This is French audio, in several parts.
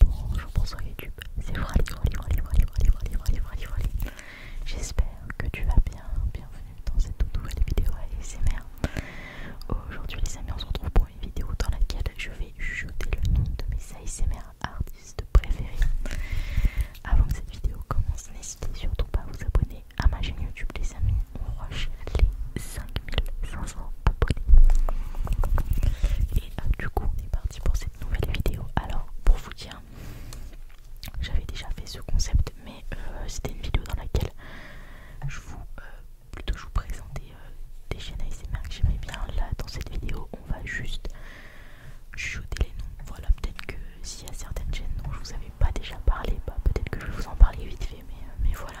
Bonjour, bonsoir YouTube, c'est Frali, Frali, Frali, Frali, Frali, Frali, Frali, Frali. J'espère que tu vas bien, bienvenue dans cette nouvelle vidéo ASMR. Aujourd'hui les amis, on se retrouve pour une vidéo dans laquelle je vais jeter le nom de mes ASMR artistes préférés. Avant que cette vidéo commence, n'hésitez surtout pas à vous abonner à ma chaîne YouTube les amis, on rush les 5500 abonnés. Et ah, du coup, on est parti pour cette nouvelle vidéo. Alors, pour vous dire, j'avais déjà fait ce concept, mais euh, c'était une vidéo dans laquelle je vous, euh, plutôt je vous présentais euh, des chaînes ASMR que j'aimais bien. Là, dans cette vidéo, on va juste jeter les noms. Voilà, peut-être que s'il y a certaines chaînes dont je vous avais pas déjà parlé, bah, peut-être que je vais vous en parler vite fait, mais voilà.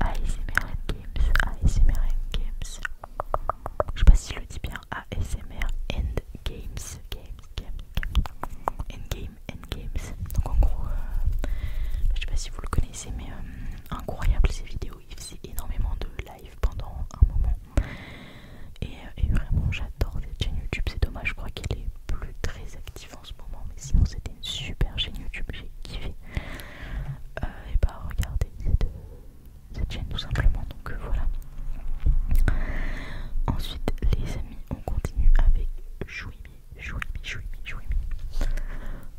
ASMR Games, ASMR Games. Je sais pas si je le dis bien, ASMR and Games, Games, Endgame, Endgames. Donc en gros, euh, je sais pas si vous le connaissez, mais euh, incroyable ces vidéos. Il faisait énormément de live pendant un moment. Et, euh, et vraiment, j'adore cette chaîne YouTube. C'est dommage, je crois qu'elle est plus très active en ce moment. Mais sinon, c'était une super chaîne YouTube. J'ai kiffé. Euh, et bah regardez cette, chaîne tout simplement donc euh, voilà ensuite les amis on continue avec Jouimi Chouimi Chouimi Chouimi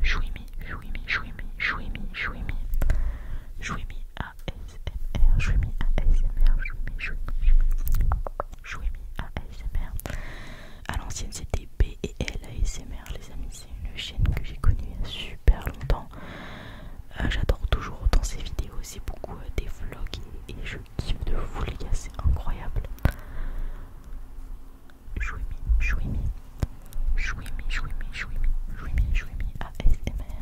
Chouimi Chouimi Chouimi Chouimi Chouimi Chouimi Chouimi Chouimi à l'ancienne c'était B et elle ASMR les amis c'est une chaîne que j'ai connue il y a super longtemps euh, J'adore toujours autant ses vidéos c'est beaucoup euh, des vlogs et, je kiffe de fou les gars c'est incroyable Jouimi Jouimi Jouimi mi, Jouimi Jouimi ASMR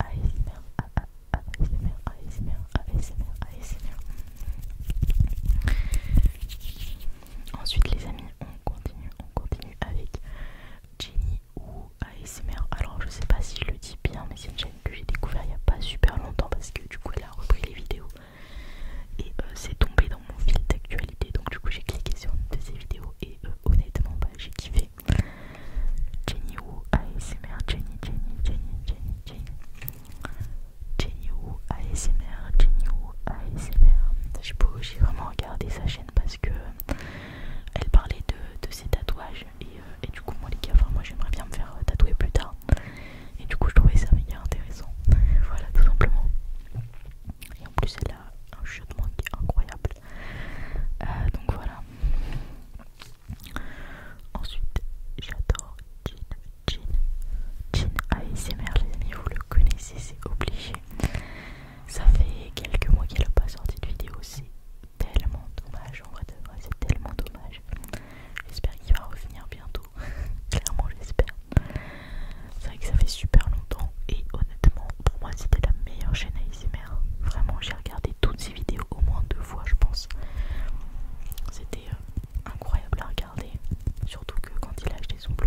ASMR ASMR ASMR ASMR ASMR Ensuite les amis, on continue, on continue avec Jenny ou ASMR. Alors je sais pas si je le dis bien, mais c'est une chaîne que j'ai découvert il y a pas super longtemps parce que du coup elle a repris les vidéos et euh, c'est tombé dans mon fil d'actualité. Donc du coup j'ai cliqué sur une de ses vidéos et euh, honnêtement bah, j'ai kiffé. Jenny ou ASMR, Jenny, Jenny, Jenny, Jenny, Jenny, ASMR, Jenny ou ASMR. J'ai vraiment regardé sa chaîne parce que euh, elle parlait de, ses tatouages. Euh, et, du coup, moi, les gars, moi j'aimerais bien me faire euh, tatouer plus tard. Et du coup, je trouvais ça méga intéressant. voilà, tout simplement. Et en plus, elle a un jeu de qui est incroyable. donc voilà. Ensuite, j'adore Jean Jean Jean ASMR, les amis, vous le connaissez, c'est obligé. Ça fait quelques mois qu'il n'a pas sorti de vidéo, c'est tellement dommage, en vrai de c'est tellement dommage. J'espère qu'il va revenir bientôt, clairement j'espère. C'est vrai que ça fait super longtemps et honnêtement, pour moi c'était la meilleure chaîne ASMR. Vraiment, j'ai regardé toutes ses vidéos au moins deux fois, je pense. C'était euh, incroyable à regarder, surtout que quand il a acheté son Blue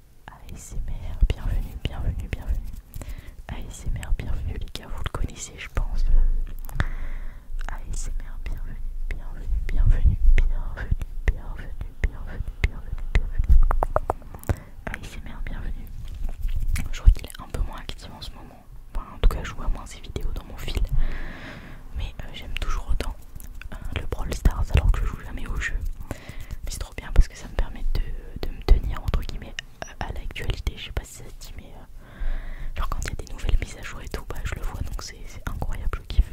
ASMR, bienvenue, bienvenue, bienvenue. ASMR, bienvenue les gars, vous le connaissez je pense. ASMR, bienvenue, bienvenue, bienvenue, bienvenue, bienvenue, bienvenue, bienvenue, bienvenue. ASMR, bienvenue. Je vois qu'il est un peu moins actif en ce moment. en tout cas, je vois moins ses vidéos dans mon fil. Mais euh, j'aime toujours autant euh, le Brawl Stars alors que je joue jamais au jeu. c'est bien parce que ça me permet de, me tenir entre guillemets à, l'actualité. Je sais pas si ça te dit, mais euh, genre quand il y a des nouvelles mises à jour et tout, bah je le vois donc c'est incroyable. Je kiffe.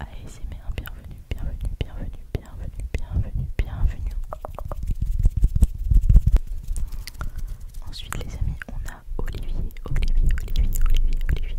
ASMR, bienvenue, bienvenue, bienvenue, bienvenue, bienvenue, bienvenue. Ensuite, les amis, on a Olivier, Olivier, Olivier, Olivier, Olivier.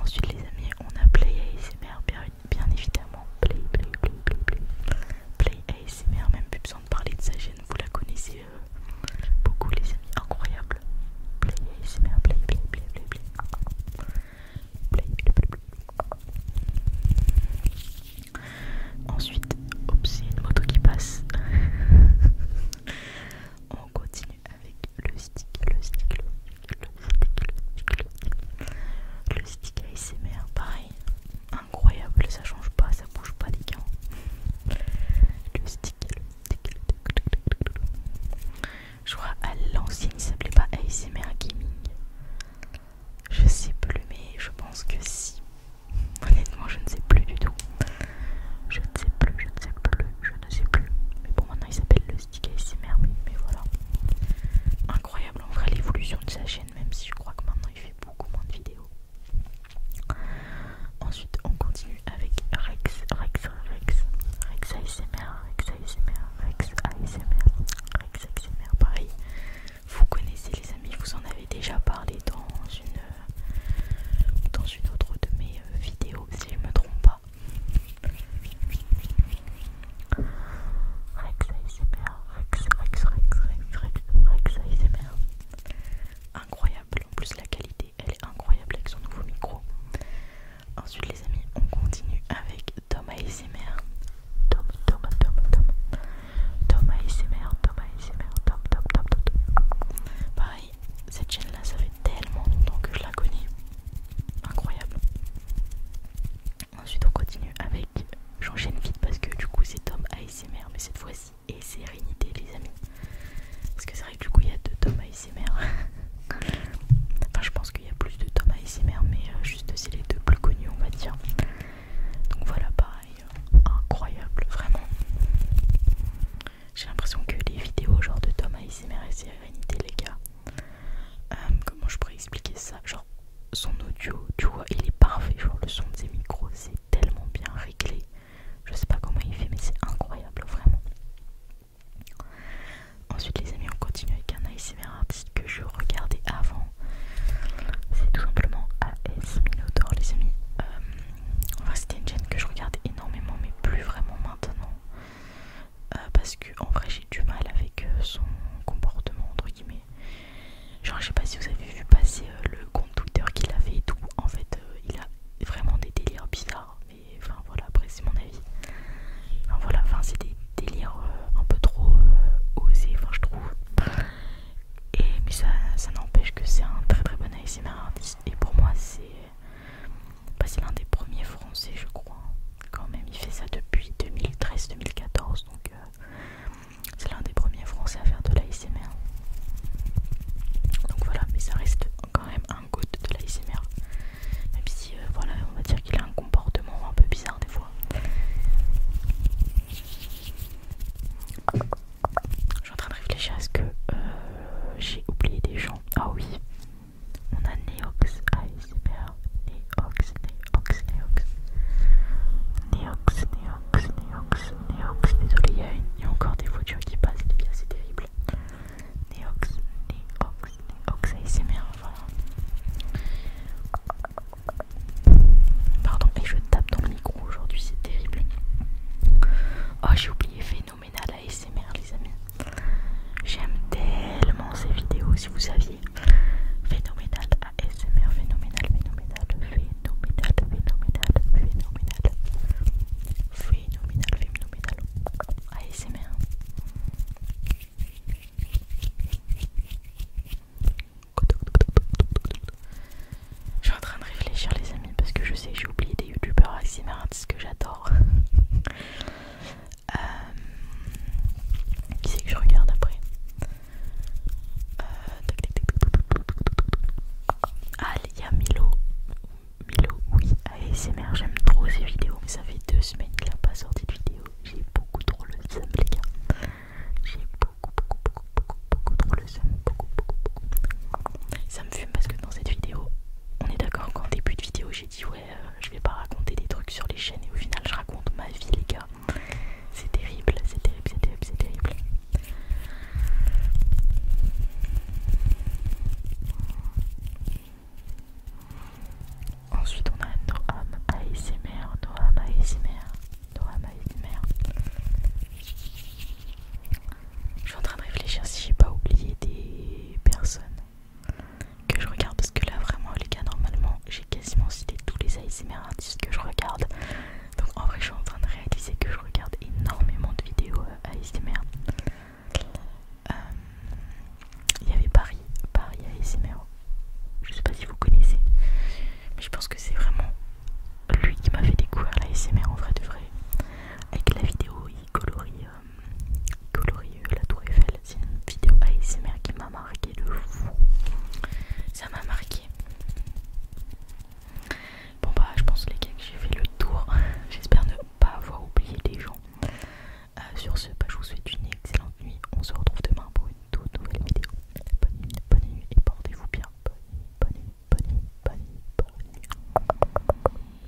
ensuite, les amis, on a Play ASMR, bien, évidemment. Play, play, play, play, play. ASMR, même plus besoin de parler de sa chaîne, vous la connaissez euh, beaucoup, les amis, incroyable. Play ASMR, play, play, play, play, Ensuite, c'est une moto qui passe. on continue avec le stick, le stick, le stick, le stick, le stick ASMR, pareil, incroyable, ça change pas, ça bouge pas les gars. Le stick, le stick, le stick. Je crois à l'ancienne, il s'appelait pas ASMR Gaming. Je sais plus, mais je pense que si. Honnêtement, je ne sais plus du tout. Je ne sais plus, je ne sais plus, je ne sais plus. Mais bon, maintenant il s'appelle le Stick ASMR, mais, voilà. Incroyable en vrai l'évolution de sa chaîne, même si je crois que maintenant il fait beaucoup moins de vidéos. Ensuite, on continue avec Rex, Rex, Rex, Rex ASMR, Rex ASMR, Rex ASMR, Rex ASMR, pareil. Vous connaissez les amis, vous en avez déjà parlé dans une dans une autre de mes euh, vidéos si je me trompe pas. Incroyable, en plus la qualité elle est incroyable avec son nouveau micro. Ensuite les amis, on continue avec Tom ASMR. Tom, Tom, Tom, Tom. Tom ASMR, Tom ASMR, Pareil, cette chaîne là ça fait tellement longtemps que je la connais. Incroyable. Ensuite on continue avec, j'enchaîne vite parce que du coup c'est Tom ASMR mais cette fois-ci et sérénité les amis. Parce que c'est vrai que du coup il y a deux Tom ASMR. enfin je pense qu'il y a plus de Tom ASMR mais euh, juste c'est les deux plus connus on va dire. Donc voilà pareil, euh, incroyable vraiment. J'ai l'impression que les vidéos genre de Thomas ASMR et Sérénité, les gars, euh, comment je pourrais expliquer ça Genre, son audio, tu vois, il est parfait. Genre, le son de ses micros, c'est tellement bien réglé. Je sais pas comment il fait, mais c'est incroyable, vraiment. Ensuite, les amis, on continue avec un ASMR artiste que je regardais avant. C'est tout simplement AS Minotaur, les amis. Euh, enfin, c'était une chaîne que je regardais énormément, mais plus vraiment maintenant. Euh, parce que en vrai j'ai du mal avec euh, son comportement entre guillemets genre je sais pas si vous avez vu passer euh, le compte Twitter qu'il avait et tout en fait il a vraiment des délires bizarres mais enfin voilà après c'est mon avis enfin voilà enfin c'est des délires un peu trop osés enfin je trouve et mais ça, ça n'empêche que c'est un très très bon ASMR artiste et pour moi c'est bah, c'est l'un des premiers français je crois hein. quand même il fait ça depuis 2013-2014 donc euh, c'est l'un des premiers français à faire de l'ASMR donc voilà mais ça reste quand même un goût de l'ASMR même si euh, voilà on va dire qu'il a un comportement un peu bizarre des fois je suis en train de réfléchir à ce que euh, j'ai oublié des gens ah oui on a Neox ASMR, ah, Neox, Neox, Neox, Neox, Neox, Neox, Neox. Désolé, il y, a encore des voitures qui passent, les c'est terrible. Neox, Neox, Neox ASMR, voilà. Pardon, et je tape dans le micro aujourd'hui, c'est terrible. Oh, j'ai oublié phénoménal ASMR les amis. J'aime tellement ces vidéos si vous saviez. Phénoménal ASMR, phénoménal, phénoménal, phénoménal, phénoménal, phénoménal. Phénoménal, phénoménal. ASMR. Je suis en train de réfléchir les amis parce que je sais j'ai oublié des youtubeurs ASMR ce que j'adore. Euh, qui c'est que je regarde après euh, Allez, Ah, il y a Milo. Milo, oui, ASMR, j'aime trop ses vidéos. Mais ça fait deux semaines qu'il n'a pas sorti de vidéo. J'ai beaucoup trop le seum, les gars. J'ai beaucoup, beaucoup, beaucoup, beaucoup, beaucoup trop le seum. Ça me fume parce que dans cette vidéo, on est d'accord qu'en début de vidéo j'ai dit ouais euh, je vais pas raconter des trucs sur les chaînes et au final je raconte ma vie les gars. C'est terrible, c'est terrible, c'est terrible, Ensuite on a Noam ASMR, Noam ASMR, Noam ASMR. Je suis en train de réfléchir si j'ai pas oublié des personnes que je regarde parce que là vraiment les gars normalement j'ai quasiment cité tous les ASMR artistes que je regarde donc en vrai je suis en train de réaliser que je regarde énormément de vidéos euh, ASMR euh, il y avait Paris, Paris ASMR je sais pas si vous connaissez mais je pense que c'est vraiment lui qui m'a fait découvrir l'ASMR en vrai de vrai avec la vidéo il colorie euh, Colorieux, euh, la tour Eiffel. C'est une vidéo ASMR qui m'a marqué de fou. Ça m'a marqué. Bon bah je pense les gars que j'ai fait le tour. J'espère ne pas avoir oublié des gens. Euh, sur ce, bah, je vous souhaite une excellente nuit. On se retrouve demain pour une toute nouvelle vidéo. Bonne nuit, bonne nuit et portez-vous bien. bonne bonne nuit, bonne nuit, bonne nuit.